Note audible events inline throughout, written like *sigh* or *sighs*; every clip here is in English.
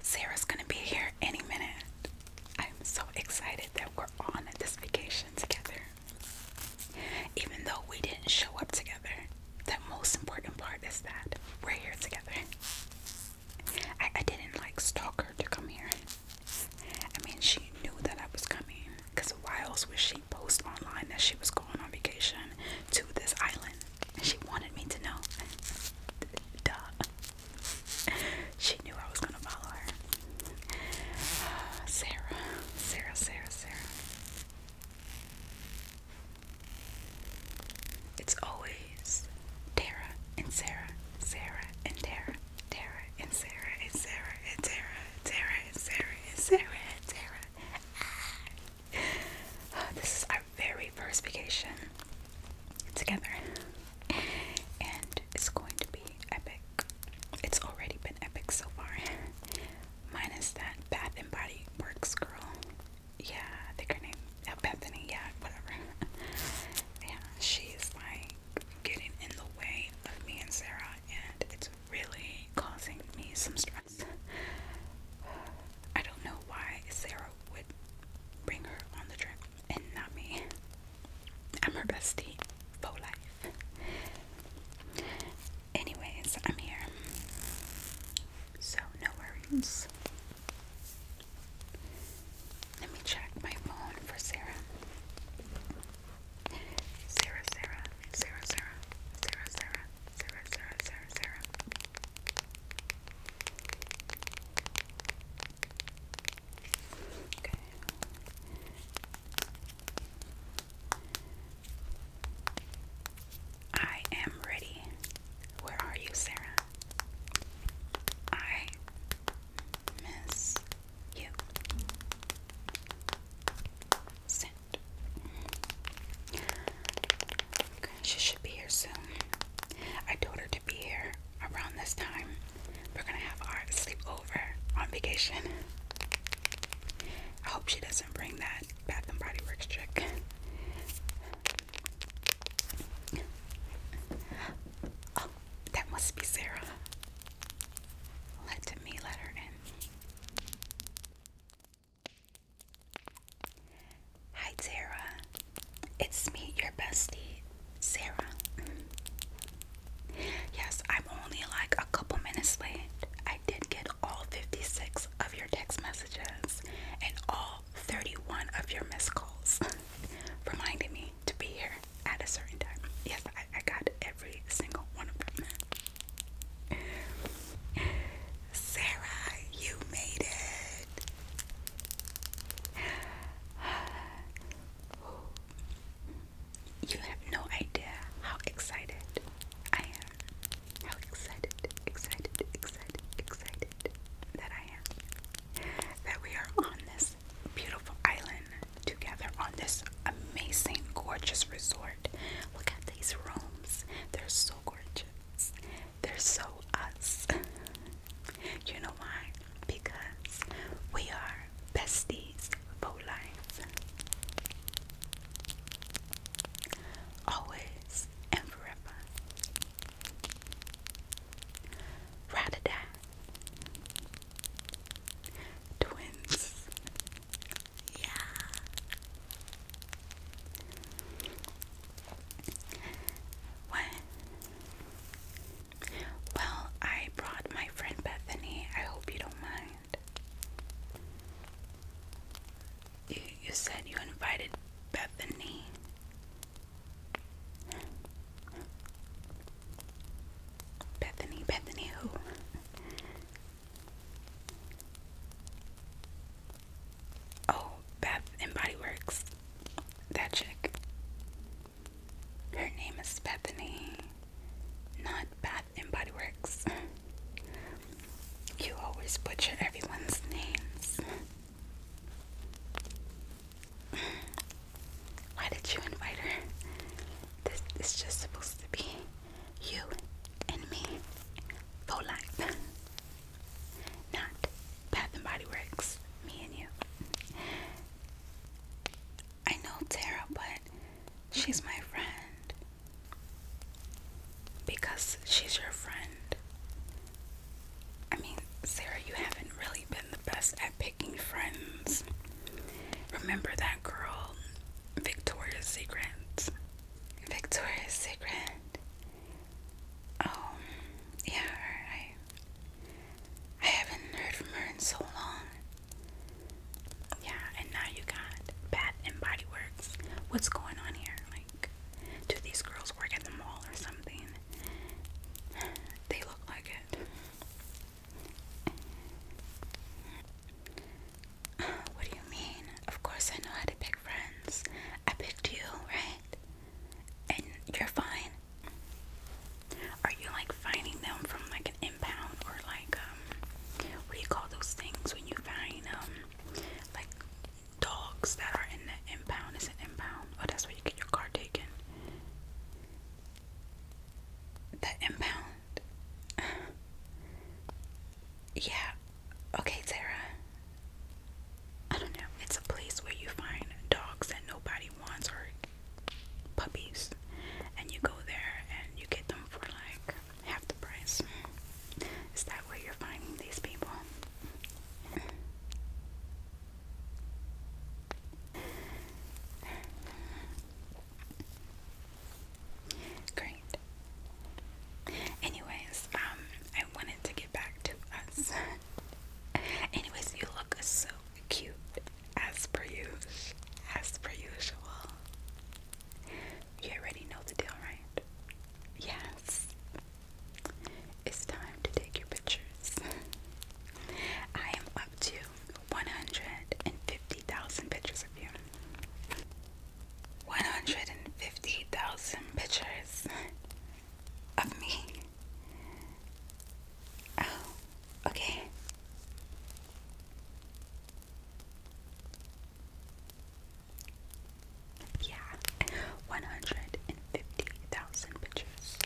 Sarah's gonna be here any minute. I'm so excited that we're on this vacation together. Even though we didn't show up together, the most important part is that we're here together. I, didn't like stalk her to come here. I mean, she knew that I was coming because a whiles would she posted online that she was going on vacation to this island? She wanted me to know. Duh. She knew I was gonna follow her. Uh, Sarah, Sarah, Sarah, Sarah. It's always Tara and Sarah, Sarah and Tara, Tara and Sarah and Sarah and Sarah, Tara and Sarah and Sarah and Sarah. And Sarah, and Sarah, and Sarah. *sighs* This is our very first vacation together, and it's going to be epic. It's already been epic so far, minus that Bath and Body Works girl. Yeah, I think her name, yeah, uh, Bethany. Yeah, whatever. *laughs* yeah, she's like getting in the way of me and Sarah, and it's really causing me some stress. I don't know why Sarah would bring her on the trip and not me. I'm her bestie for life. Anyways, I'm here. So, no worries. Let me check my phone for Sarah. Sarah, Sarah, Sarah, Sarah, Sarah, Sarah, Sarah, Sarah, Sarah, Sarah. Okay. I am ready. Where are you, Sarah? I miss you. Send she should be here soon. I told her to be here around this time. We're gonna have our sleepover on vacation. I hope she doesn't bring that Bath and Body Works trick. Oh, that must be Sarah. Let me let her in. Hi, Tara. It's me, your bestie, Sarah. yes, I'm only like a couple minutes late. I did get all 56 of your text messages and all 31 of your missed calls, *laughs* reminding me to be here at a certain time. Yes, I got every single one of them. Sarah, you made it. You have no idea how excited I am. How excited, excited, excited, excited that I am. That we are on this beautiful island together on this amazing, gorgeous resort. Look at these rooms. They're so gorgeous. They're so us. *laughs* you know why? Because we are besties for life. Always and forever. Rather twins. yeah. Well, I brought my friend Bethany. I hope you don't mind. You, you said you invited Bethany. Bethany, Bethany, who? Oh, Bath and Body Works. That chick. Her name is Bethany, not Bath and Body Works. You always butcher everyone's names. Why did you invite her? This is just supposed to be you and me for life. Not Bath and Body Works, me and you. I know Tara, but she's my friend. Because she's your friend. I mean, Sarah, you haven't really been the best at picking friends. Remember that girl, Victoria's Secret? Victoria's Secret. Oh, yeah, I, I haven't heard from her in so long. Yeah, and now you got Bath and Body Works. What's going on here? Like, do these girls work at the mall or something? *sighs* They look like it. *sighs* What do you mean? Of course, I know how to pick friends. I picked you, right? And you're fine. Are you like finding them from like an impound or like um, what do you call those things when you find um like dogs that are in the impound? Is it impound? Oh that's where you get your car taken. The impound. *sighs* yeah. Okay, Sarah. I don't know, it's a place where you find dogs that nobody wants or puppies, and you go there and you get them for like half the price. Is that where you're finding these people? Great. Anyways, um, I wanted to get back to us. *laughs* Anyways, you look so cute as per usual. As per usual. You already know the deal, right? Yes. It's time to take your pictures. I am up to 150,000 pictures of you. 150,000 pictures of me. Oh, okay. Yeah, 150,000 pictures.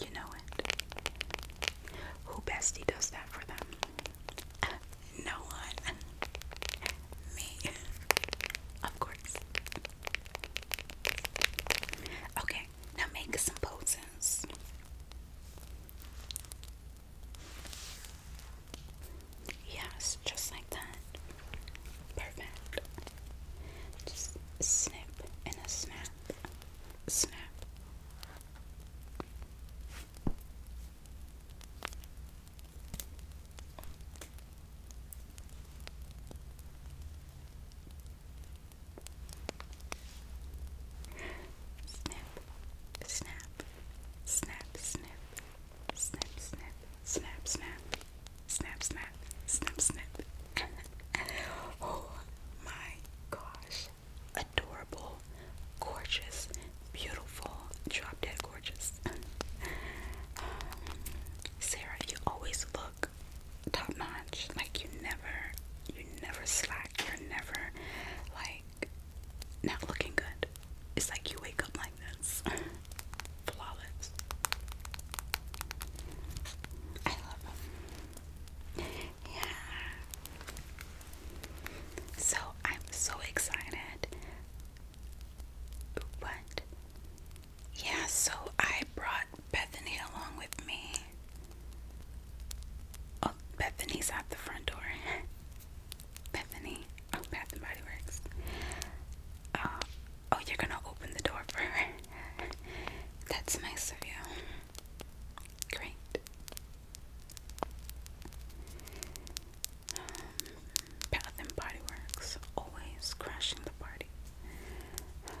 You know it. Who bestie does that for them? no one. *laughs* Me. Of course. Okay, now make some poses. Yes, just like that. Perfect. Just snip and a snap. Snap. Snap, snap, snap, snip, snip, snip, snap, snap, snap, snap, snap, snip. *laughs* oh my gosh. Adorable, gorgeous, beautiful, drop dead gorgeous. Um, Sarah, you always look top notch. Like you never, you never slack. You're never like not looking good. It's like you wake up like this, *laughs* flawless. I love them. Yeah. So I'm so excited. What? Yeah, so I brought Bethany along with me. Oh, Bethany's at the front door. *laughs* Bethany. Oh, Bath and Body Works. Uh, oh, you're gonna open the door for her. *laughs* That's nice of you. Great. Um, path and Body Works, always crashing the party.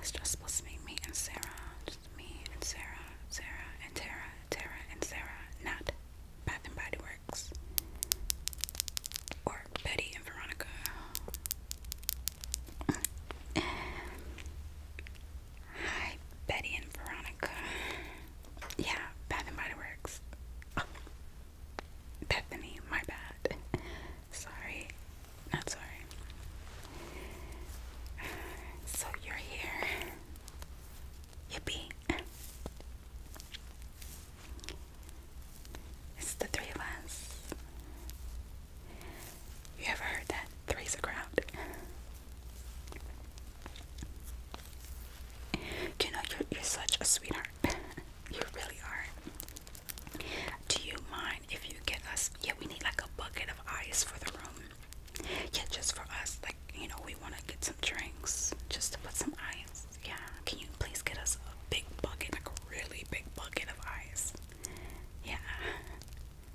It's just supposed to be me and Sarah, just me and Sarah, Sarah and Tara, Tara and Sarah, not Bath and Body Works or Betty and Veronica. Hi, Betty and Veronica. Yeah, Bath and Body Works. Oh. Bethany, my bad. *laughs* sorry. Not sorry. So you're here. Yippee. It's the three of us. You ever heard that? Three's a crowd. you know you're, you're such a sweetheart? *laughs* you really are. Do you mind if you get us? Yeah, we need like a bucket of ice for the room. Yeah, just for us. Like, you know, we want to get some drinks just to put some ice. Yeah, can you please get us a big bucket, like a really big bucket of ice? Yeah,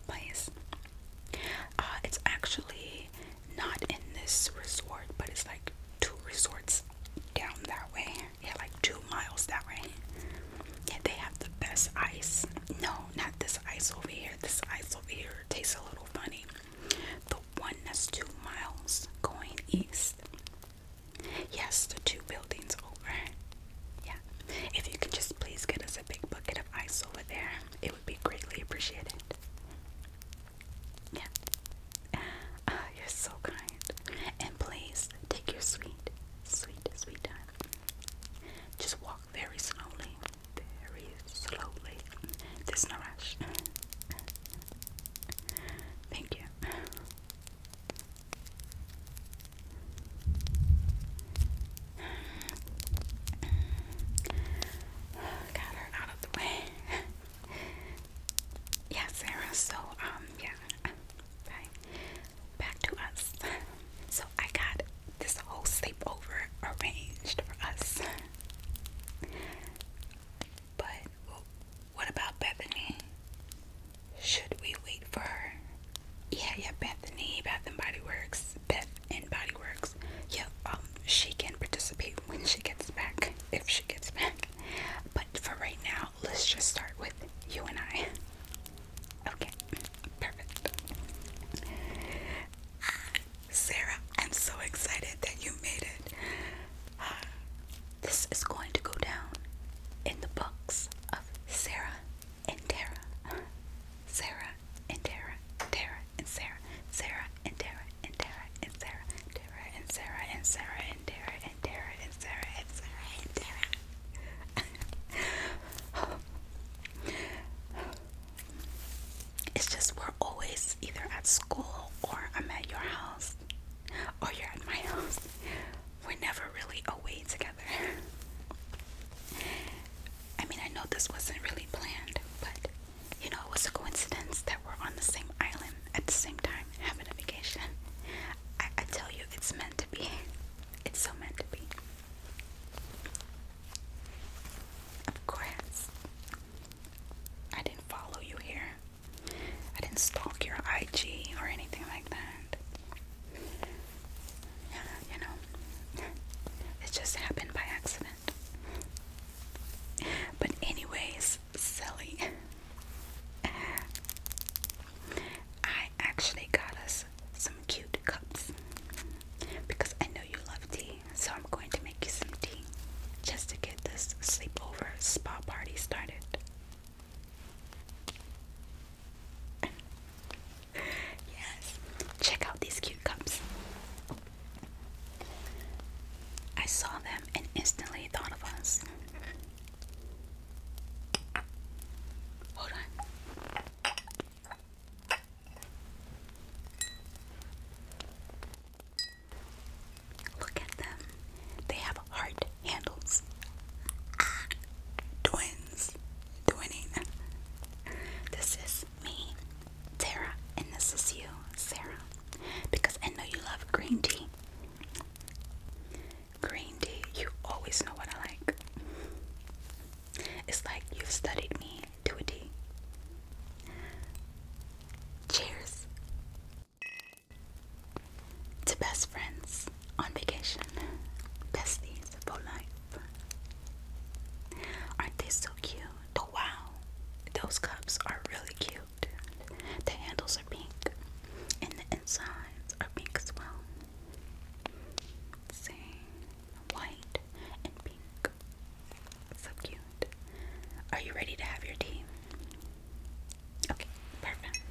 please. Uh, it's actually not in this resort, but it's like two resorts down that way. Yeah, like two miles that way. Yeah, they have the best ice. No, not this ice over here. This ice over here tastes a little funny. The one that's two miles going east. Yes, the two buildings over. Yeah. If you could just please get us a big bucket of ice over there, it would be greatly appreciated. Yeah. Ah, you're so kind. And please take your sweet, sweet, sweet time. Just walk very slowly. Very slowly. no rush. Thank you. Got her out of the way yeah, Sarah. So, um, yeah, bye. *laughs* Back to us. *laughs* So, I got this whole sleepover arranged for us. *laughs* But what about Bethany? Should we wait for her? Yeah, yeah, Bethany, Bath and Body Works, Beth and Body Works. Yeah, um, she can participate when she gets back, if she gets back. But for right now, let's just start with you and I. Okay, perfect. Sarah, I'm so excited that you made it. This is going to go down in the books of Sarah and Tara. Sarah and Tara, Tara and Sarah, Sarah and Tara and Tara and Sarah, Sarah and Sarah and Sarah and Dara and Dara and Sarah and Sarah and Dara. it's just we're always either at school or I'm at your house or you're at my house. We're never really away together. I mean, I know this wasn't really planned, but you know, it was a coincidence that we're on the same island at the same time having a vacation. I, tell you, it's meant to be. It's so meant to be. Of course. I didn't follow you here. I didn't stalk your IG or anything like that. you know, it just happened by accident. But anyways, silly. I actually got us some cute cups because I know you love tea, so I'm going to make you some tea just to get this sleepover spa party started. *laughs* yes, check out these cute cups. I saw them and instantly thought of us. Hold on. Look at them. They have heart handles. twins. Twinning. This is me, Tara, and this is you, Sarah. Because I know you love green tea. Green tea, you always know what I like. It's like you've studied me to a T. Cheers to best friends on vacation. Besties for life. Aren't they so cute? Oh wow, those cups are really cute. The handles are pink, and the insides are pink as well. Same white and pink. So cute. Are you ready to have your tea? Okay, perfect.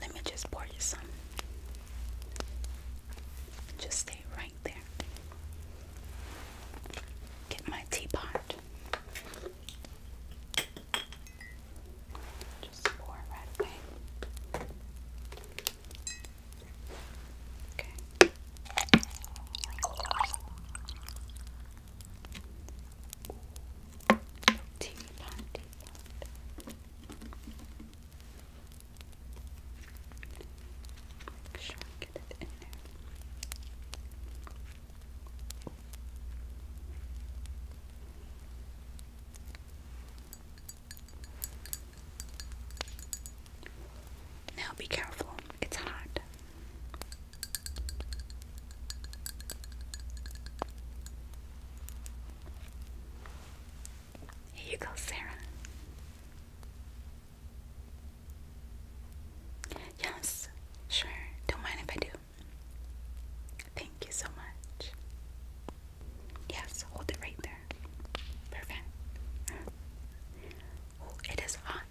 Let me just pour you some. Just stay right there. Get my teapot. Just pour right away. Okay. Tea pot, Make sure get it in there. Now be careful, it's hot. Here you go, Sarah. Yes, sure. Don't mind if I do. Thank you so much. Yes, hold it right there. Perfect. it is hot.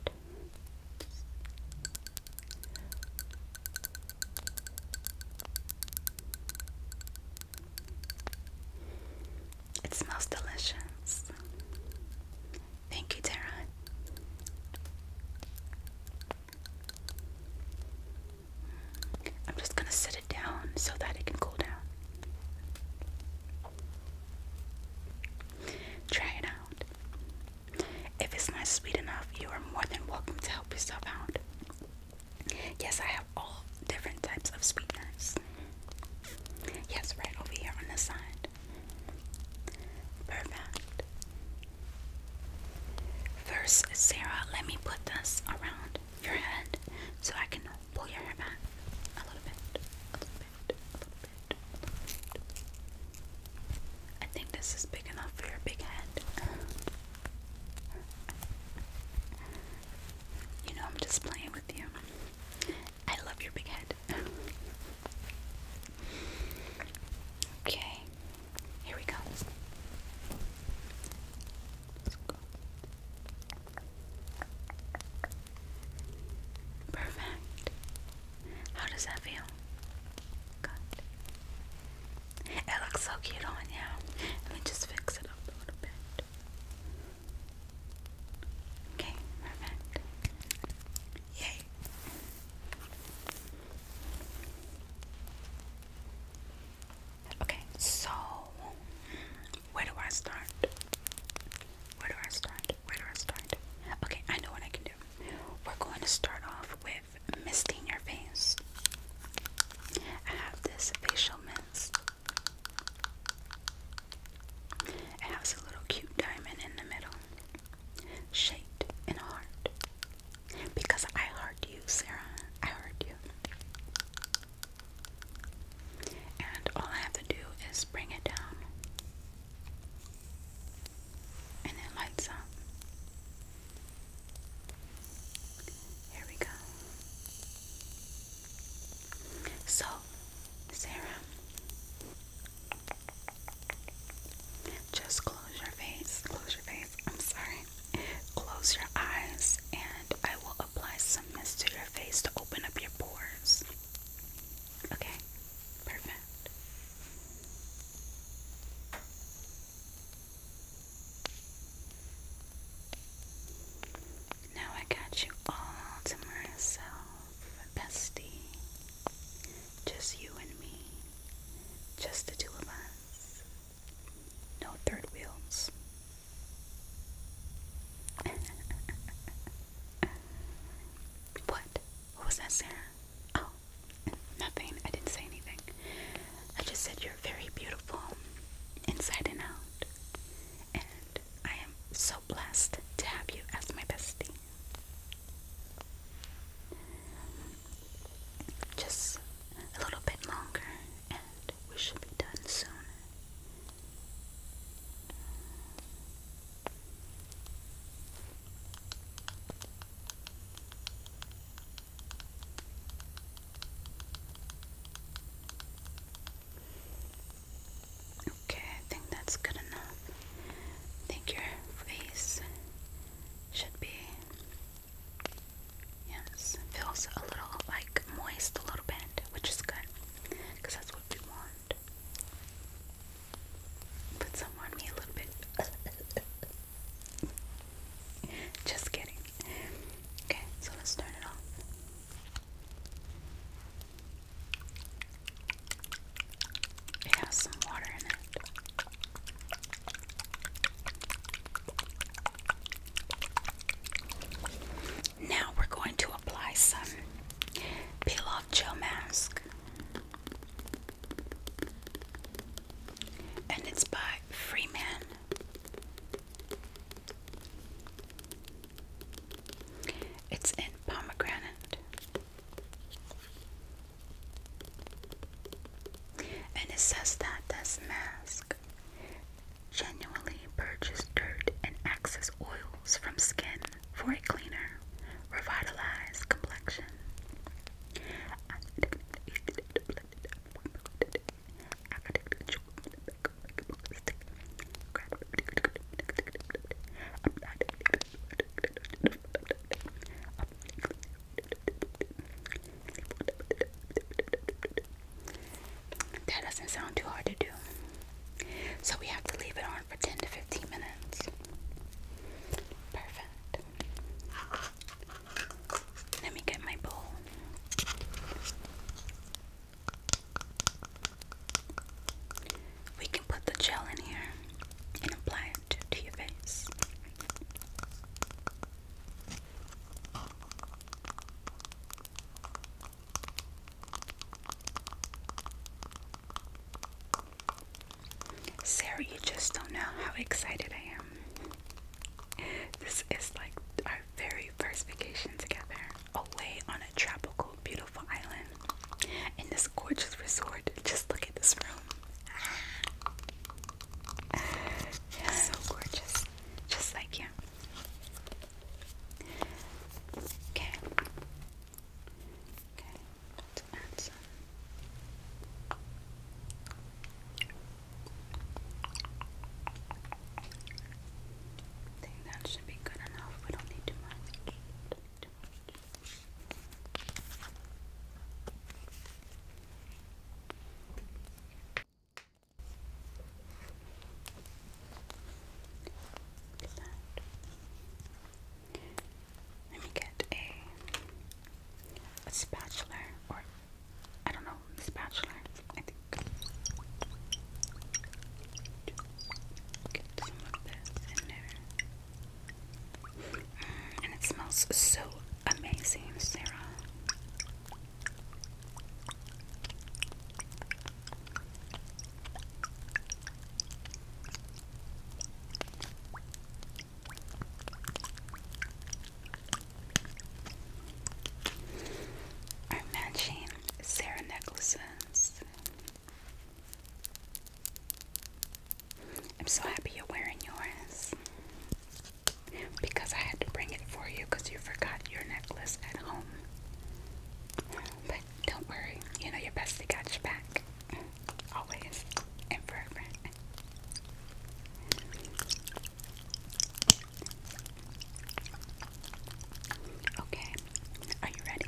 It smells delicious. Thank you, Tara. I'm just going to set it down so that it can cool down. Try it out. If it's not sweet enough, you are more than welcome to help yourself out. Yes, I have all different types of sweeteners. Yes, right over here on the side. Perfect. First, Sarah, let me put this around your head so I can pull your hair back a little bit, a little bit, a little bit. I think this is big enough for your big head. You know, I'm just playing with you. I love your big head. Okay, here we go. Let's go. Perfect. How does that feel? Good. It looks so cute on you. Let me just fix it up a little bit. Okay, perfect. Yay. Okay, so where do I start? Where do I start? Where do I start? Okay, I know what I can do. We're going to start off with misting your face. I have this facial mist. It has a little cute diamond in the middle shaped in a heart. Because I heart you, Sarah. I heart you. And all I have to do is bring it down. And it lights up. Here we go. So, Sarah, just close your face, close your face, I'm sorry. Close your eyes, and I will apply some mist to your face to open up your pores. Okay, perfect. Now I got you all to myself, bestie. Just you and me. Just the two of us. No third wheels. *laughs* what? What was that, Sarah? Oh, nothing. I didn't say anything. I just said you're very beautiful inside and out. And I am so blessed to have you as my bestie. Just a little bit longer, and we should be done soon. Okay, I think that's good enough. I think your should be. Yes, it feels a little like moist, a little bit, which is good because that's what we want. Put some on me a little bit. *laughs* Just kidding. Okay, so let's turn it off. It has some water in it. Now we're going to apply some peel off gel mask. And it's by Freeman. It's in pomegranate. And it says that this mask genuinely purges dirt and excess oils from skin for a cleaner, revitalized complexion. That doesn't sound too hard to do. So we have to leave it on for 10 to 15 minutes. Perfect. Let me get my bowl. We can put the gel in here and apply it to your face. Sarah, you just don't know how excited I am. This is like our very first vacation together, away on a tropical, beautiful island. And this this gorgeous resort. Just look at this room. so gorgeous. Just like you. Okay. Okay. Let's add some. I think that should be good enough. We Don't need too much. Look at Let me get a, a spatula or I don't know, spatula. I think some of this in there. Mm, and it smells so amazing, Sarah. Our matching Sarah necklaces. I'm so happy you're wearing yours. Because I had to bring it for you because you forgot your necklace at home. But don't worry, you know your bestie got your back. Always and Okay, are you ready?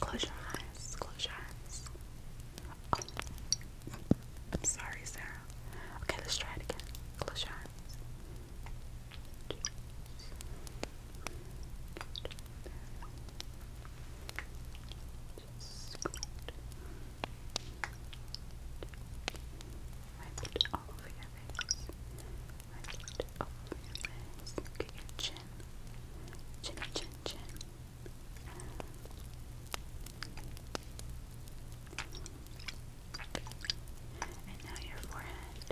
Close your eyes. Close your eyes. Oh. I'm sorry, Sarah. Okay, let's try it again. Close your eyes. Wipe it all over your face. Wipe all over your face. Look chin. Chin, chin, chin. And now your Forehead,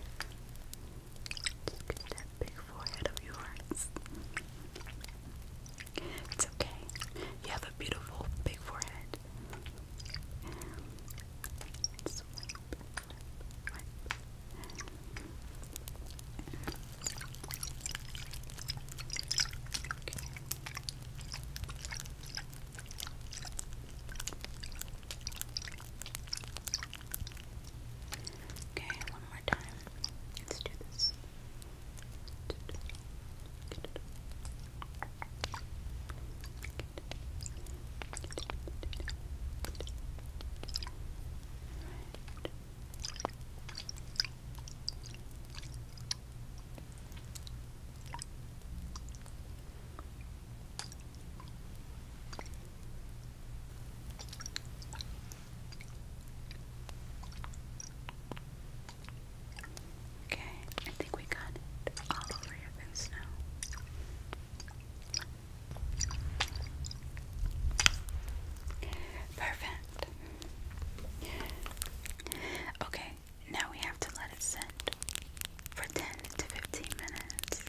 just get that big forehead of yours. It's okay. You have a beautiful big forehead. Swipe, swipe, swipe. Okay. Okay, one more time. Let's do this. Okay, I think we got it all over your face now. Perfect. Okay, now we have to let it sit for 10 to 15 minutes.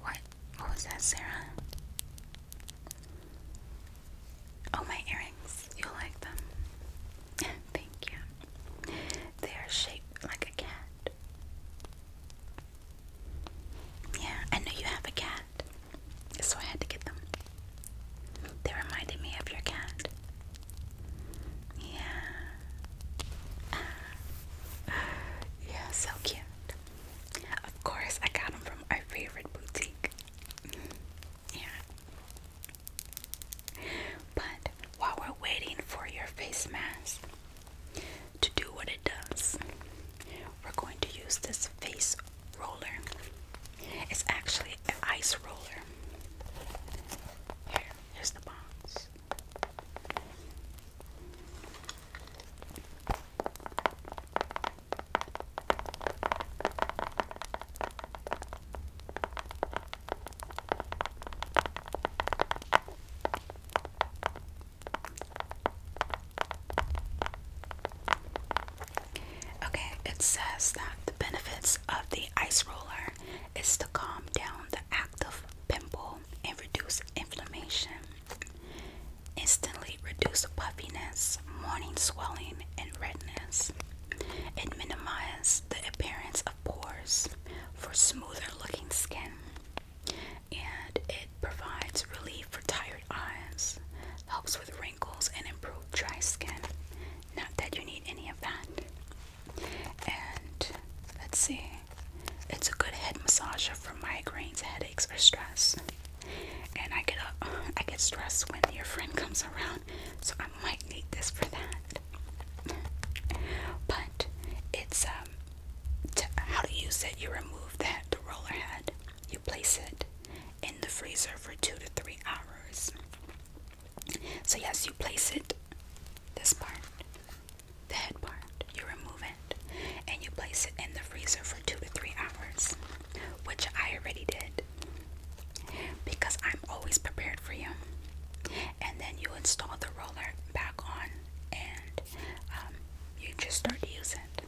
What? What was that, Sarah? Oh, my earrings. you like them. *laughs* Thank you. They are shaped like a cat. Yeah, I know you have a cat. So I had to get them. They reminded me of your cat. Yeah. yeah, so cute. Of course, I got them from our favorite boutique. Yeah. But while we're waiting for your face mask to do what it does, we're going to use this face roller. It's actually an ice roller. here's the box. Okay, it says that the benefits of the ice roller is to calm down the active pimple and reduce inflammation. Instantly reduce puffiness, morning swelling, and redness. It minimizes the appearance of pores for smoother looking skin. And it provides relief for tired eyes, helps with wrinkles, and improve dry skin. Not that you need any of that. And let's see, it's a good head massager for migraines, headaches, or stress. And I get a, *laughs* I get stressed when your friend comes around, so I might need this for that. But it's um, to, how to use it. You remove that the roller head. You place it in the freezer for two to three hours. So, yes, you place it, this part, the head part, you remove it, and you place it in the freezer for two to three hours, which I already did because I'm always prepared for you. And then you install the roller back on and um, you just start to use it.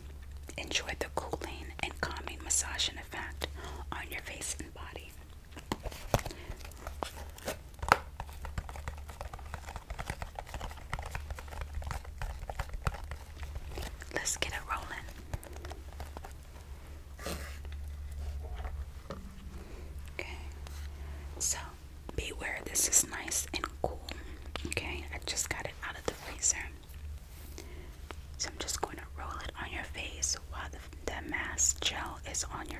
Enjoy the cooling and calming massaging effect on your face and body. Let's get it rolling. Okay, so beware, this is nice and cool. Okay, I just got it out of the freezer. So I'm just going to roll it on your face while the, the mask gel is on your.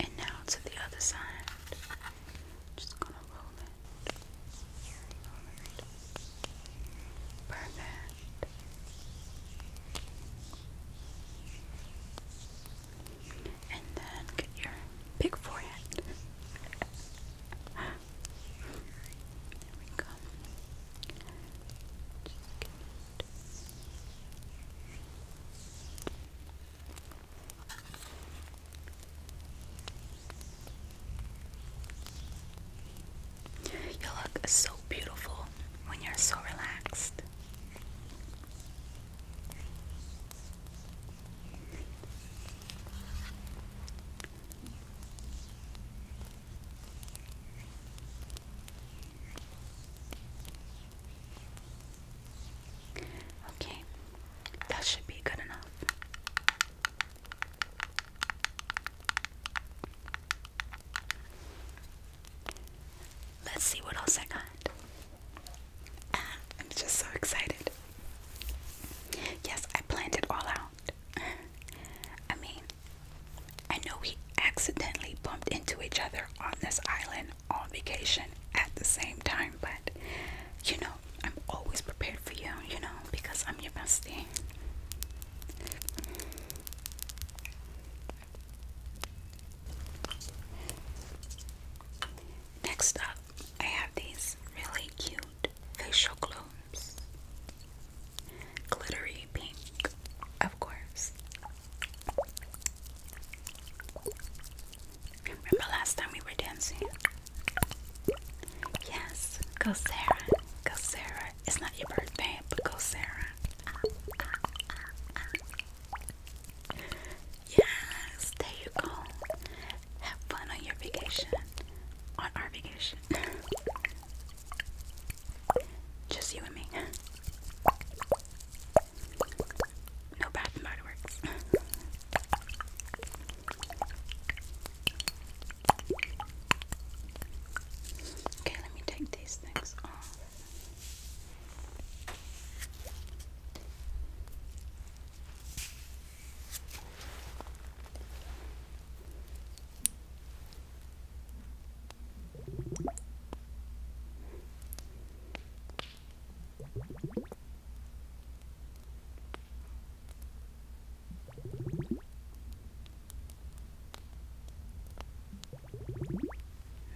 And now to the other side. Just gonna roll it. Perfect. And then get your big forehead. there we go. Just get it. You look so beautiful when you're so relaxed. Okay, that should be good enough. Let's see what else I got. Ah, I'm just so excited. Yes, I planned it all out. I mean, I know we accidentally bumped into each other on this island on vacation at the same time, but you know, I'm always prepared for you, you know, because I'm your bestie. Next up, I have these really cute facial glooms. Glittery pink, of course. Remember last time we were dancing? Yes, go Sarah, go Sarah. It's not your birthday, but go Sarah. Yes, there you go. Have fun on your vacation, on our vacation. Just you and me. No Bath and Body Works. okay, let me take these things off.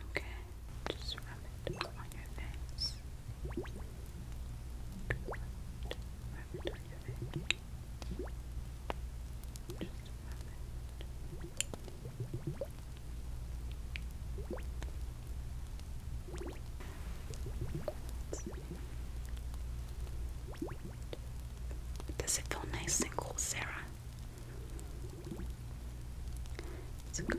Okay, just rub it on your face. Good. Rub it on your face. Just rub it. Does it feel nice and cool, Sarah? It's okay.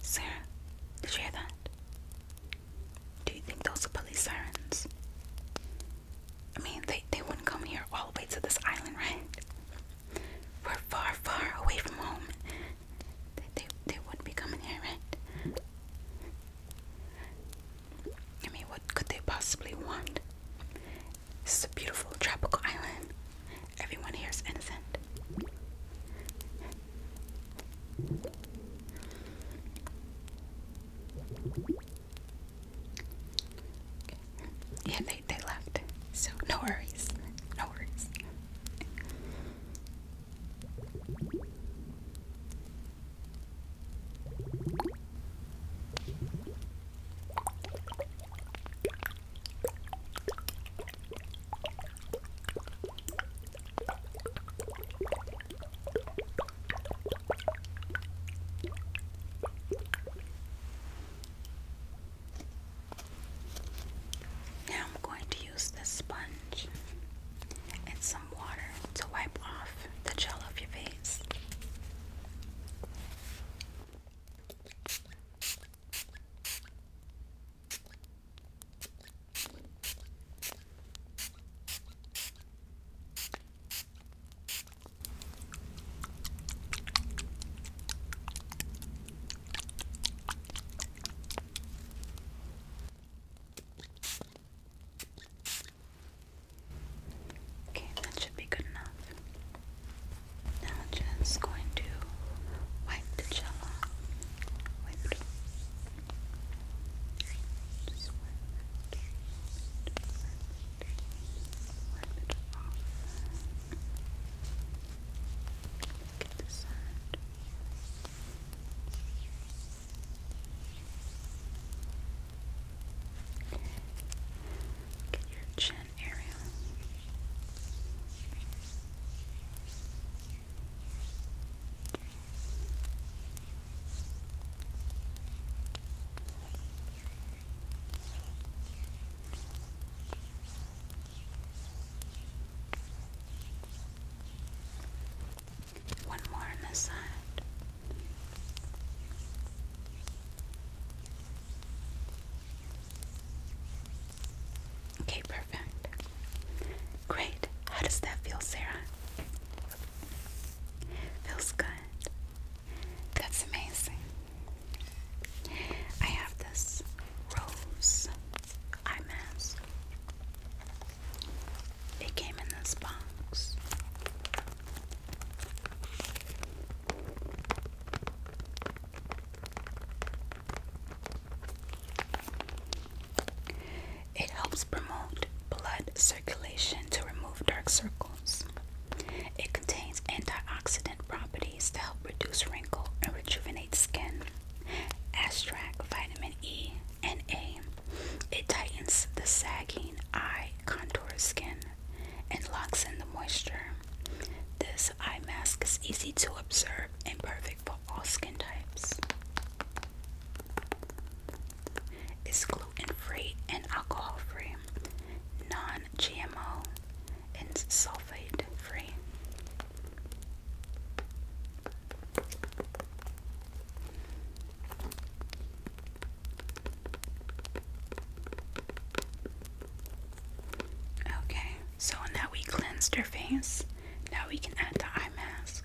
Sarah, did you hear that? Do you think those are police sirens? I mean, they, they wouldn't come here all the way to this island, right? were far, far away from home, they, they, they wouldn't be coming here, I mean, what could they possibly want? This is a beautiful tropical island. Everyone here is innocent. Yeah, they, they left. So, no worries. No worries. Now I'm going to use this sponge and some water to wipe off the gel off your face. Okay, that should be good enough. Now just going to wipe the gel wipe it off. Look at the sound. Look at your chin area. Good. One more on this side. Okay, perfect. Great. How does that feel, Sarah? Feels good. That's amazing. I have this rose eye mask. It came in this box. It helps promote blood circulation to remove dark circles. It contains antioxidant properties to help reduce wrinkles and rejuvenate skin. astrak, Vitamin E and A. It tightens the sagging eye contour skin and locks in the moisture. This eye mask is easy to observe and perfect for all skin types. It's gluten free and alcohol free, non GMO, and sulfate free. Okay, so now we cleansed her face. Now we can add the eye mask.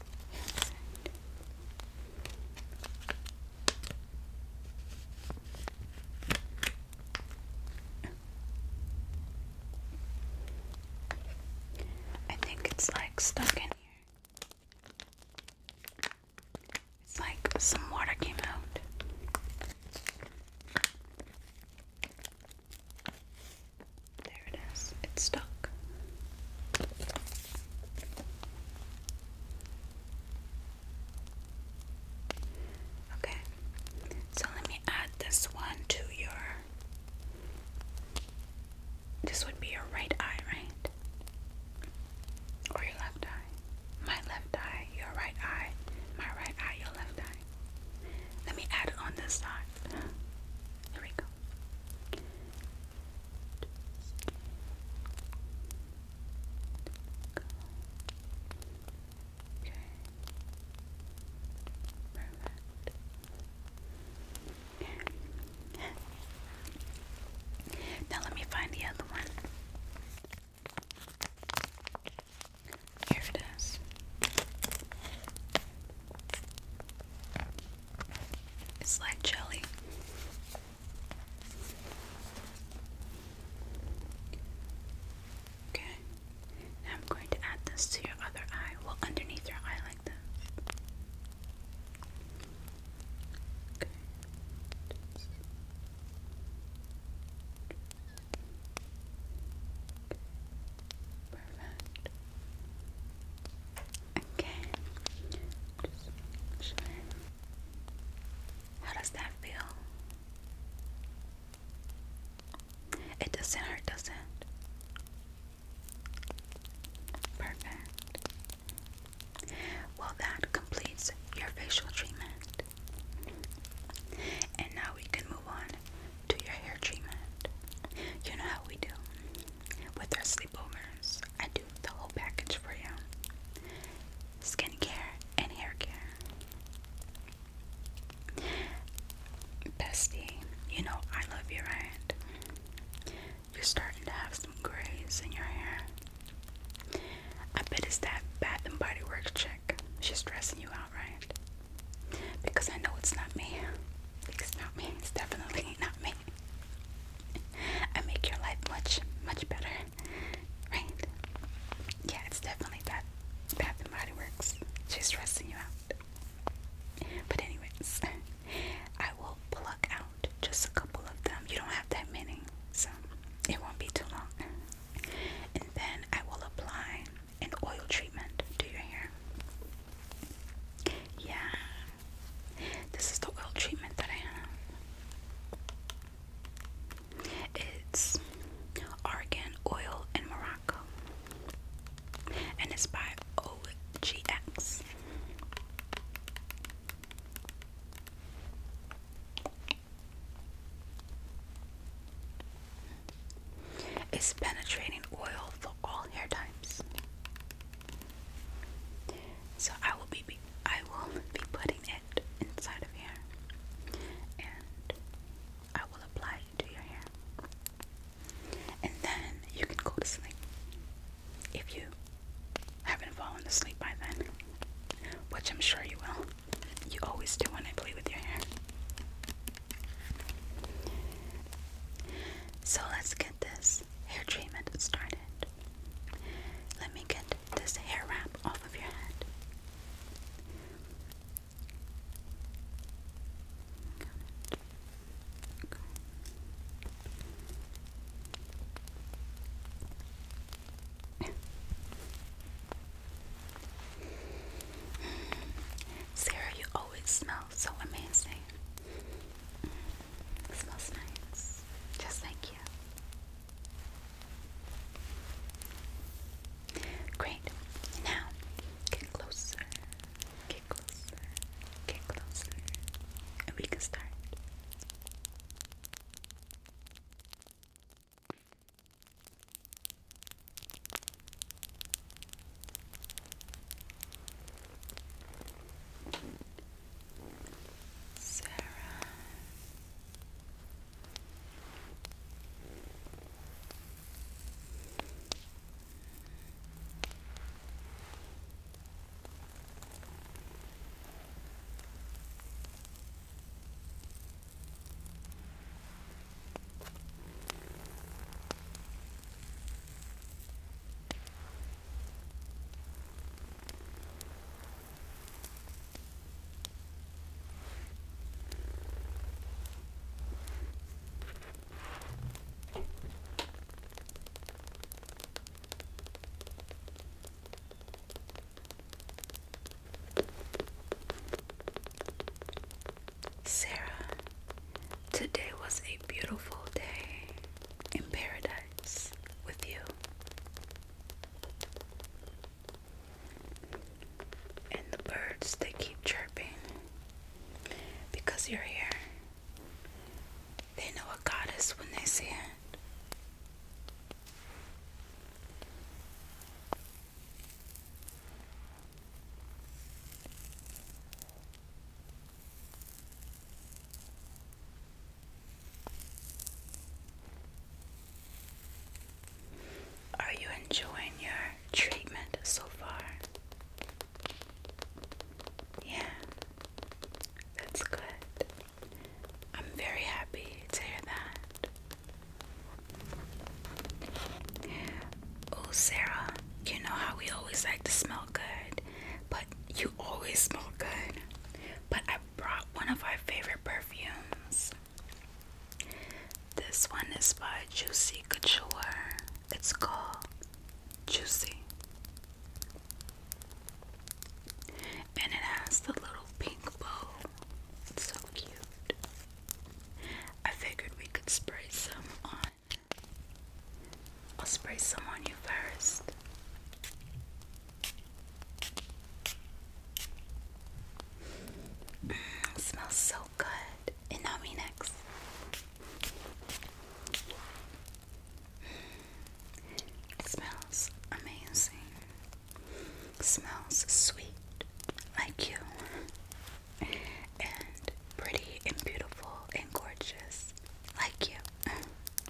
I think it's like stuck in here. It's like some water came out. There it is. It's stuck. Okay, so let me add this one to your. This would be your right eye, right? Or your left eye. My left eye, your right eye. My right eye, your left eye. Let me add it on this side. Here we go. Okay. Perfect. now let me find the other one. Here it is. It's like jelly. Okay. I'm going to add this to your other eye. Well, underneath your eye like that. Okay. Perfect. Okay. How does that feel? It doesn't hurt, does it? Perfect. Well, that completes your facial treatment. And now we can move on to your hair treatment. You know how we do with our sleepovers, I do the whole package for you skincare and hair care. Bestie, you know I love you, right? You're starting to have some grays in your hair. I bet it's that Bath and Body Works chick. She's stressing you out, right? Because I know it's not me. It's not me. It's definitely *laughs* not me and make your life much, much better. Right? Yeah, it's definitely that Bath and Body Works. She's stressing you out. But anyways, *laughs* I will pluck out just a couple of them. You don't have that many, so it won't be too long. And then I will apply an oil treatment to your hair. Yeah, this is the oil treatment that I have. It's Argan Oil in Morocco. And it's by OGX. It's penetrating oil for all hair types. So I will be, I will *laughs* be putting it inside of here, and I will apply it to your hair, and then you can go to sleep if you haven't fallen asleep by then, which I'm sure you will. You always do when I play with your hair. So let's get this hair treatment started. Let me get this hair wrap off of your head. Sarah, you always smell so amazing smells nice. Just like you. Great. Now, get closer. Get closer. Get closer. And we can start. Sarah. Sarah, today was a beautiful day in paradise with you. And the birds, they keep chirping because you're here. They know a goddess when they see it. Are you enjoying your treatment so far? Yeah, that's good. I'm very happy to hear that. Oh, Sarah, you know how we always like to smell good but you always smell good. But I brought one of our favorite perfumes. This one is by Juicy Couture. It's called Juicy. And it has the little pink bow. It's so cute. I figured we could spray some on I'll spray some on you first. Mm, smells so good. And now me next. Mm, smells amazing. smells sweet, like you, and pretty and beautiful and gorgeous, like you.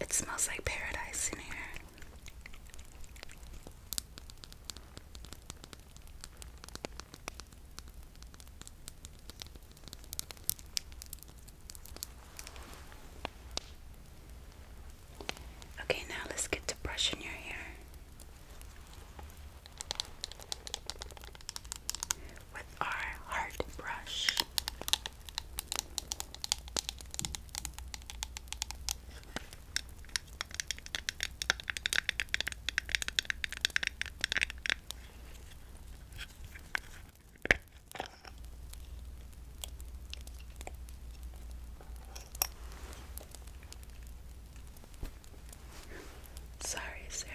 It smells like paradise in here. Okay, now let's get to brushing your hair with our hard brush. Sorry, Sarah.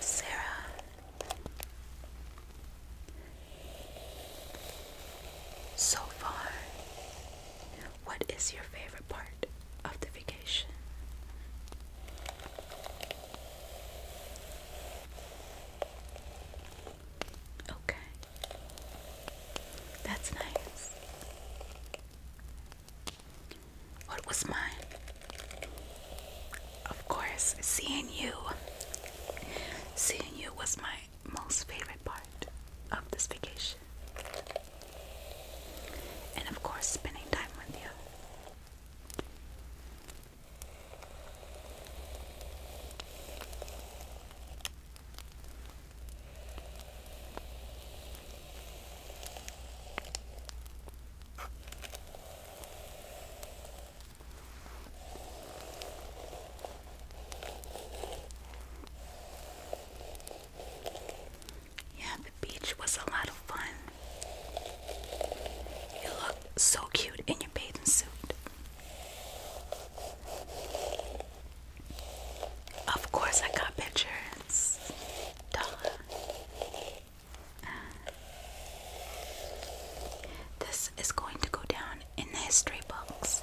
Sarah so far what is your favorite part of the vacation? Okay. That's nice. What was mine? Of course, seeing you. Seeing you was my most favorite part of this vacation and of course, spending time with you. Yeah, the beach was a lot of fun. You look so cute in your bathing suit. Of course, I got pictures. Dollar. this is going to go down in the history books.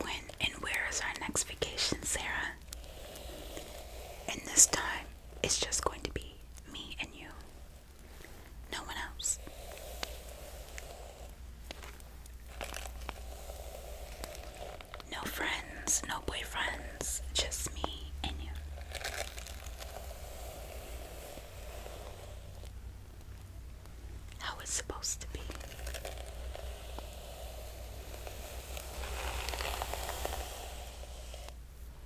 When and where is our next vacation, Sarah? And this time, it's just going to be me and you. No one else. No friends, no boyfriends, just me and you. How it's supposed to be.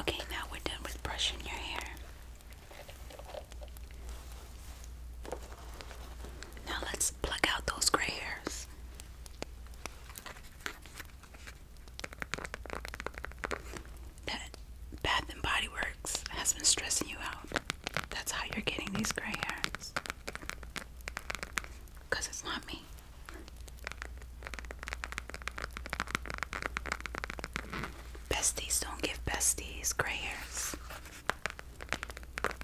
Okay, now we're done with brushing your hair. Now let's pluck out those gray hairs. That Bath and Body Works has been stressing you out. That's how you're getting these gray hairs. Because it's not me. Besties don't give besties gray hairs. Let's open it up.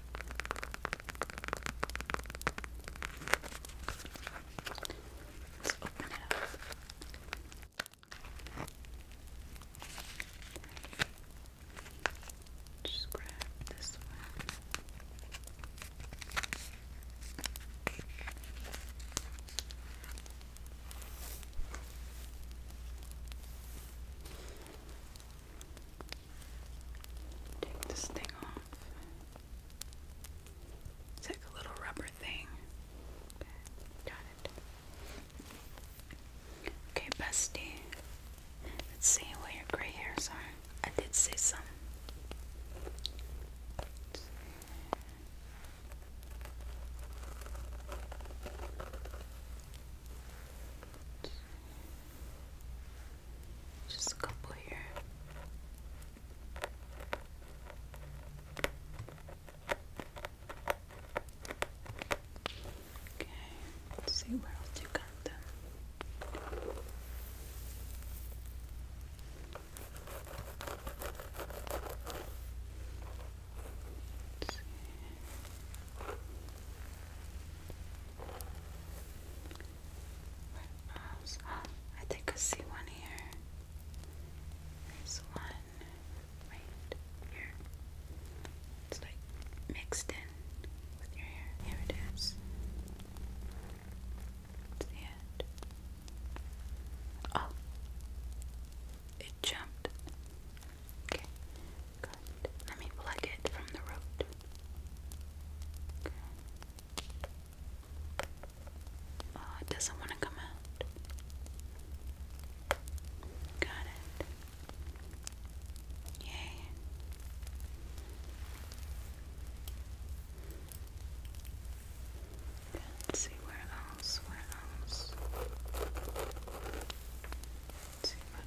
Just grab this one. Take this thing off. It's like a little rubber thing. got it. Okay, bestie. Let's see what your gray hairs are. I did see some. Just a couple here. Okay, see where else you got them. I think I see one here. There's one right here. It's like mixed in with your hair. Here it is. It's the end. Oh, it jumped. Okay, Good. Let me plug it from the root. Good. Oh, it doesn't want to come out. Got it. Yay. Let's see where else, where else to my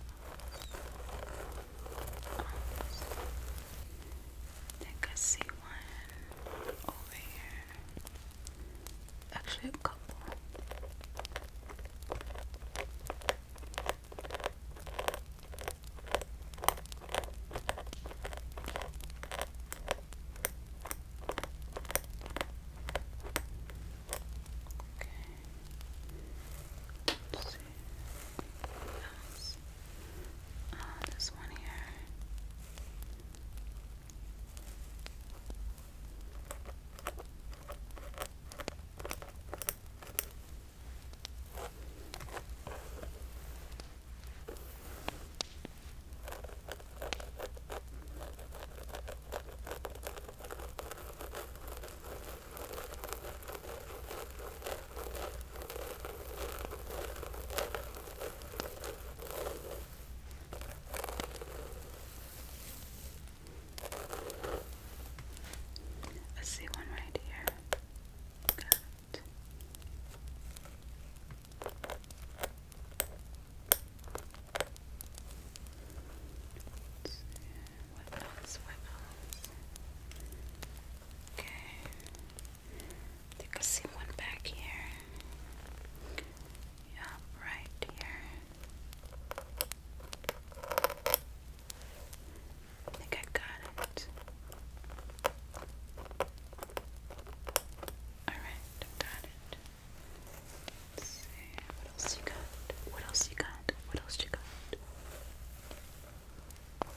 think I see one over here. Actually, a couple. Okay. Let's see. Yes. Uh, this one here. Okay. I see one right here. Got it. Let's Okay. think I see one back here. Yeah, right here. think I got it. Alright, got it. What else you got? What else you got? What else you got? Okay.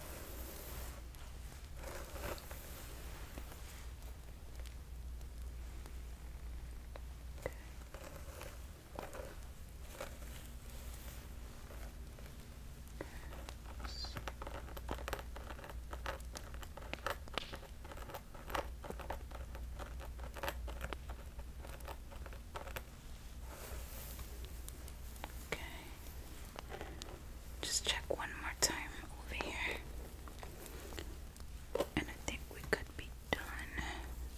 Okay. Okay. Just check one more time over here. And I think we could be done.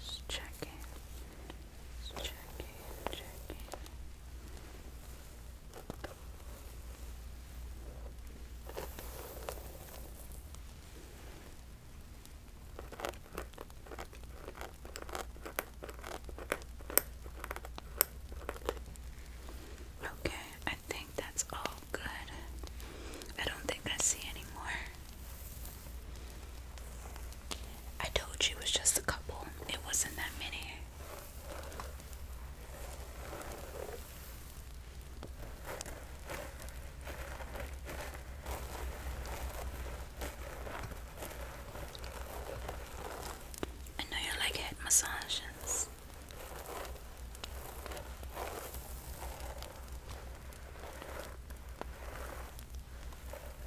Just check it. check it. Check it. Okay, I think that's all good. I don't think I see any I told you it was just a couple, it wasn't that many. I know you like head massages.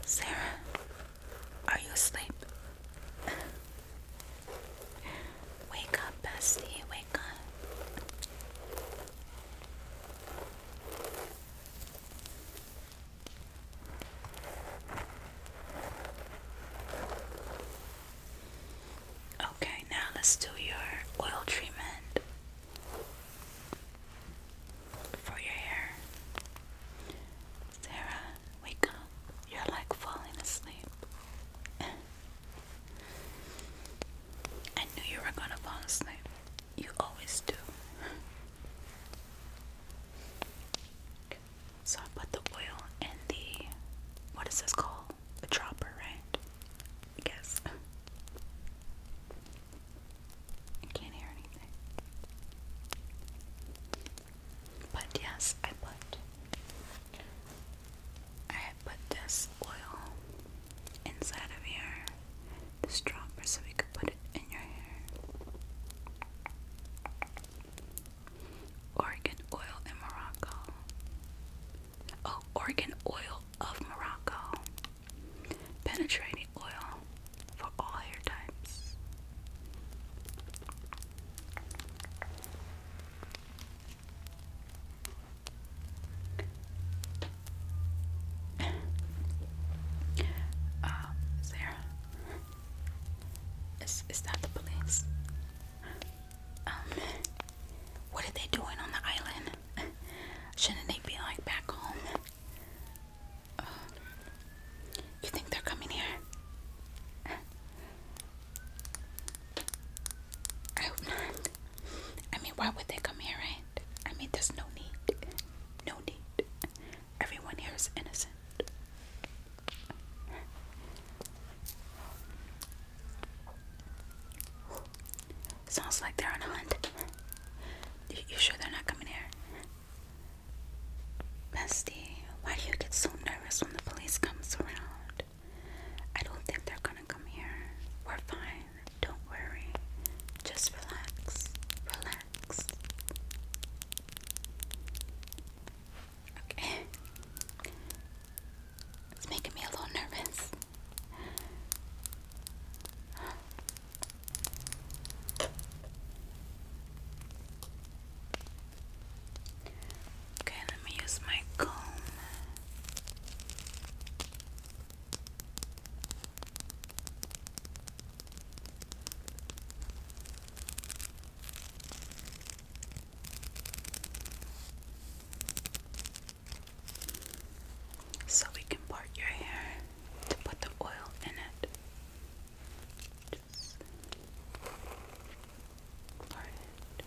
Sarah, are you asleep? *laughs* wake up, bestie, wake up. Okay, now let's do your oil treatment for your hair. Sarah, wake up. You're like falling asleep. *laughs* I knew you were gonna fall asleep. You always do. So I put the oil in the what is this called? A dropper, right? I guess. I can't hear anything. But yes, I put I put this oil inside of here the stropper so we could put it in your hair. Organ oil Morocco. Oh, organ oil of Morocco. Penetrating oil for all hair types. Um, Sarah, is is that the police? Um, what are they doing on the island? Shouldn't they be like back home? Uh, you think they're coming here? I hope not. I mean, why would they come here, right? I mean, there's no need. No need. Everyone here is innocent. Sounds like they're on a hunt. You, sure they're not coming here? Bestie, why do you get so nervous when the police comes around? I don't think they're gonna come here. We're fine. Don't worry. Just relax. Relax. It's making me a little nervous. Okay, let me use my comb. So we can part your hair to put the oil in it. Just part it.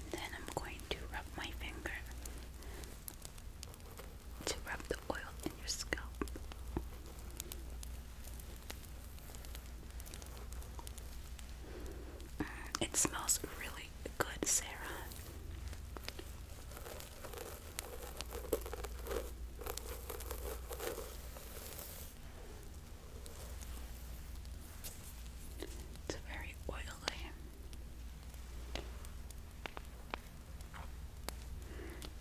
and then I'm going to rub my finger to rub the oil in your scalp. Mm, it smells really good, Sarah. It's very oily.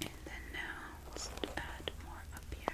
And then now let's add more up here.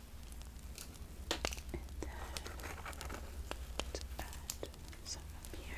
And then let's here.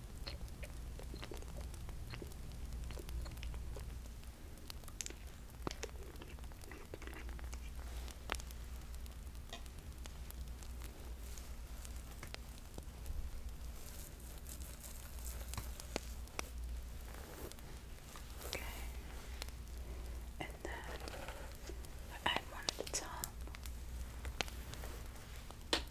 Okay. And then I add one at the top.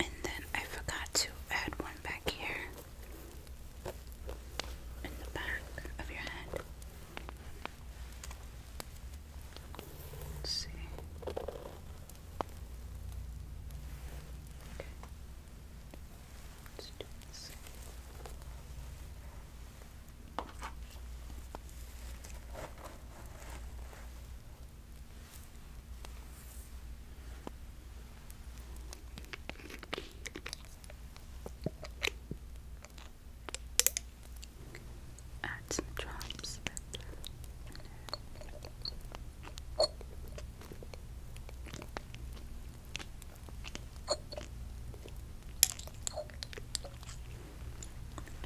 And then I forgot to add one back here in the back of your head. Let's see. Okay. Let's do this. Add some drops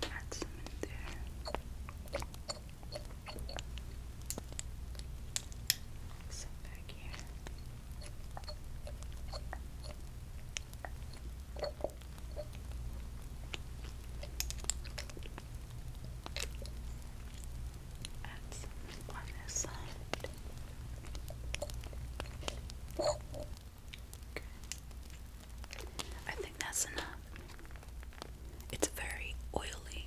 Add some there. Set back here. I think that's enough. It's very oily.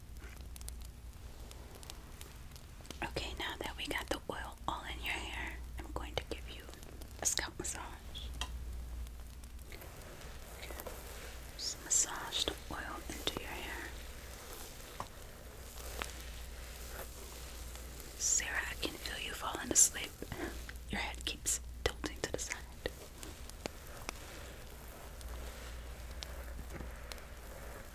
Okay, now that we got the oil all in your hair, I'm going to give you a scalp massage. Just massage the oil into your hair. Sarah, I can feel you falling asleep. Your head keeps tilting to the side.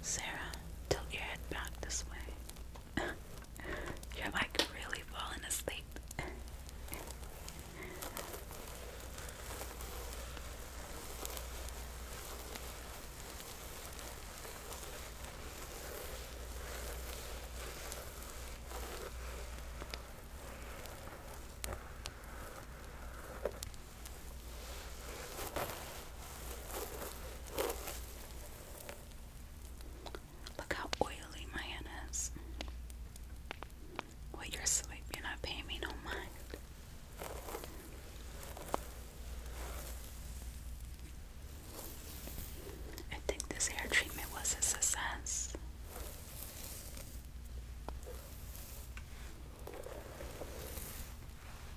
Sarah, tilt your head back this way. *laughs* You're like really falling asleep. Look how oily my hand is. Well, you're asleep, you're me no mind. I think this hair treatment was a success.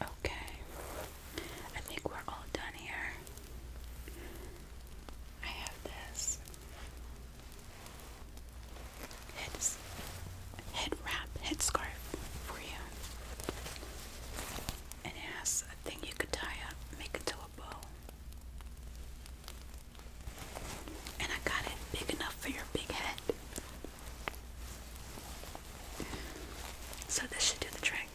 Okay, I think we're all done here. I have this head, head wrap, head scarf for you. And it has a thing you could tie up, make it a bow. And I got it big enough for your big head. So this should do the trick.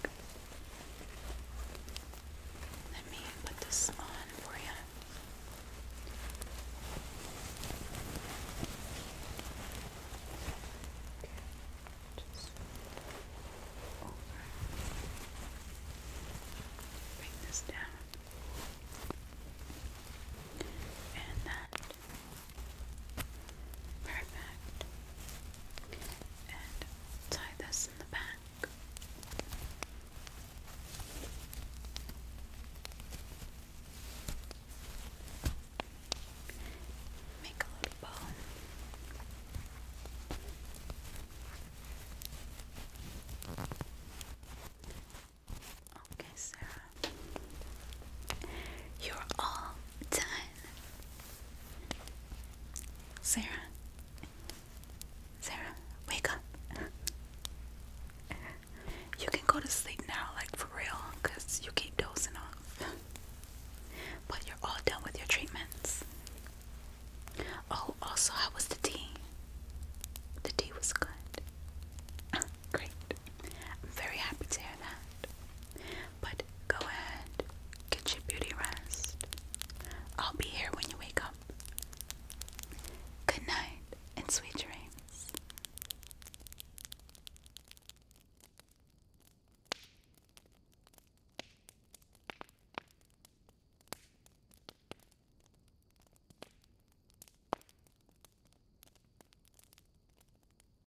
Let me put this on for you. Just over. Bring this down. And that. Perfect. And tie this in the back. Make a little bow. Okay, Sarah. You're all time. Sarah, Sarah, wake up. You can go to sleep now, like for real, because you keep dozing off. but you're all done with your treatments. Oh, also, how was the tea? The tea was good. *laughs* Great. I'm very happy to hear that. But go ahead, get your beauty rest. I'll be here when you wake up. Good night and sweet dreams.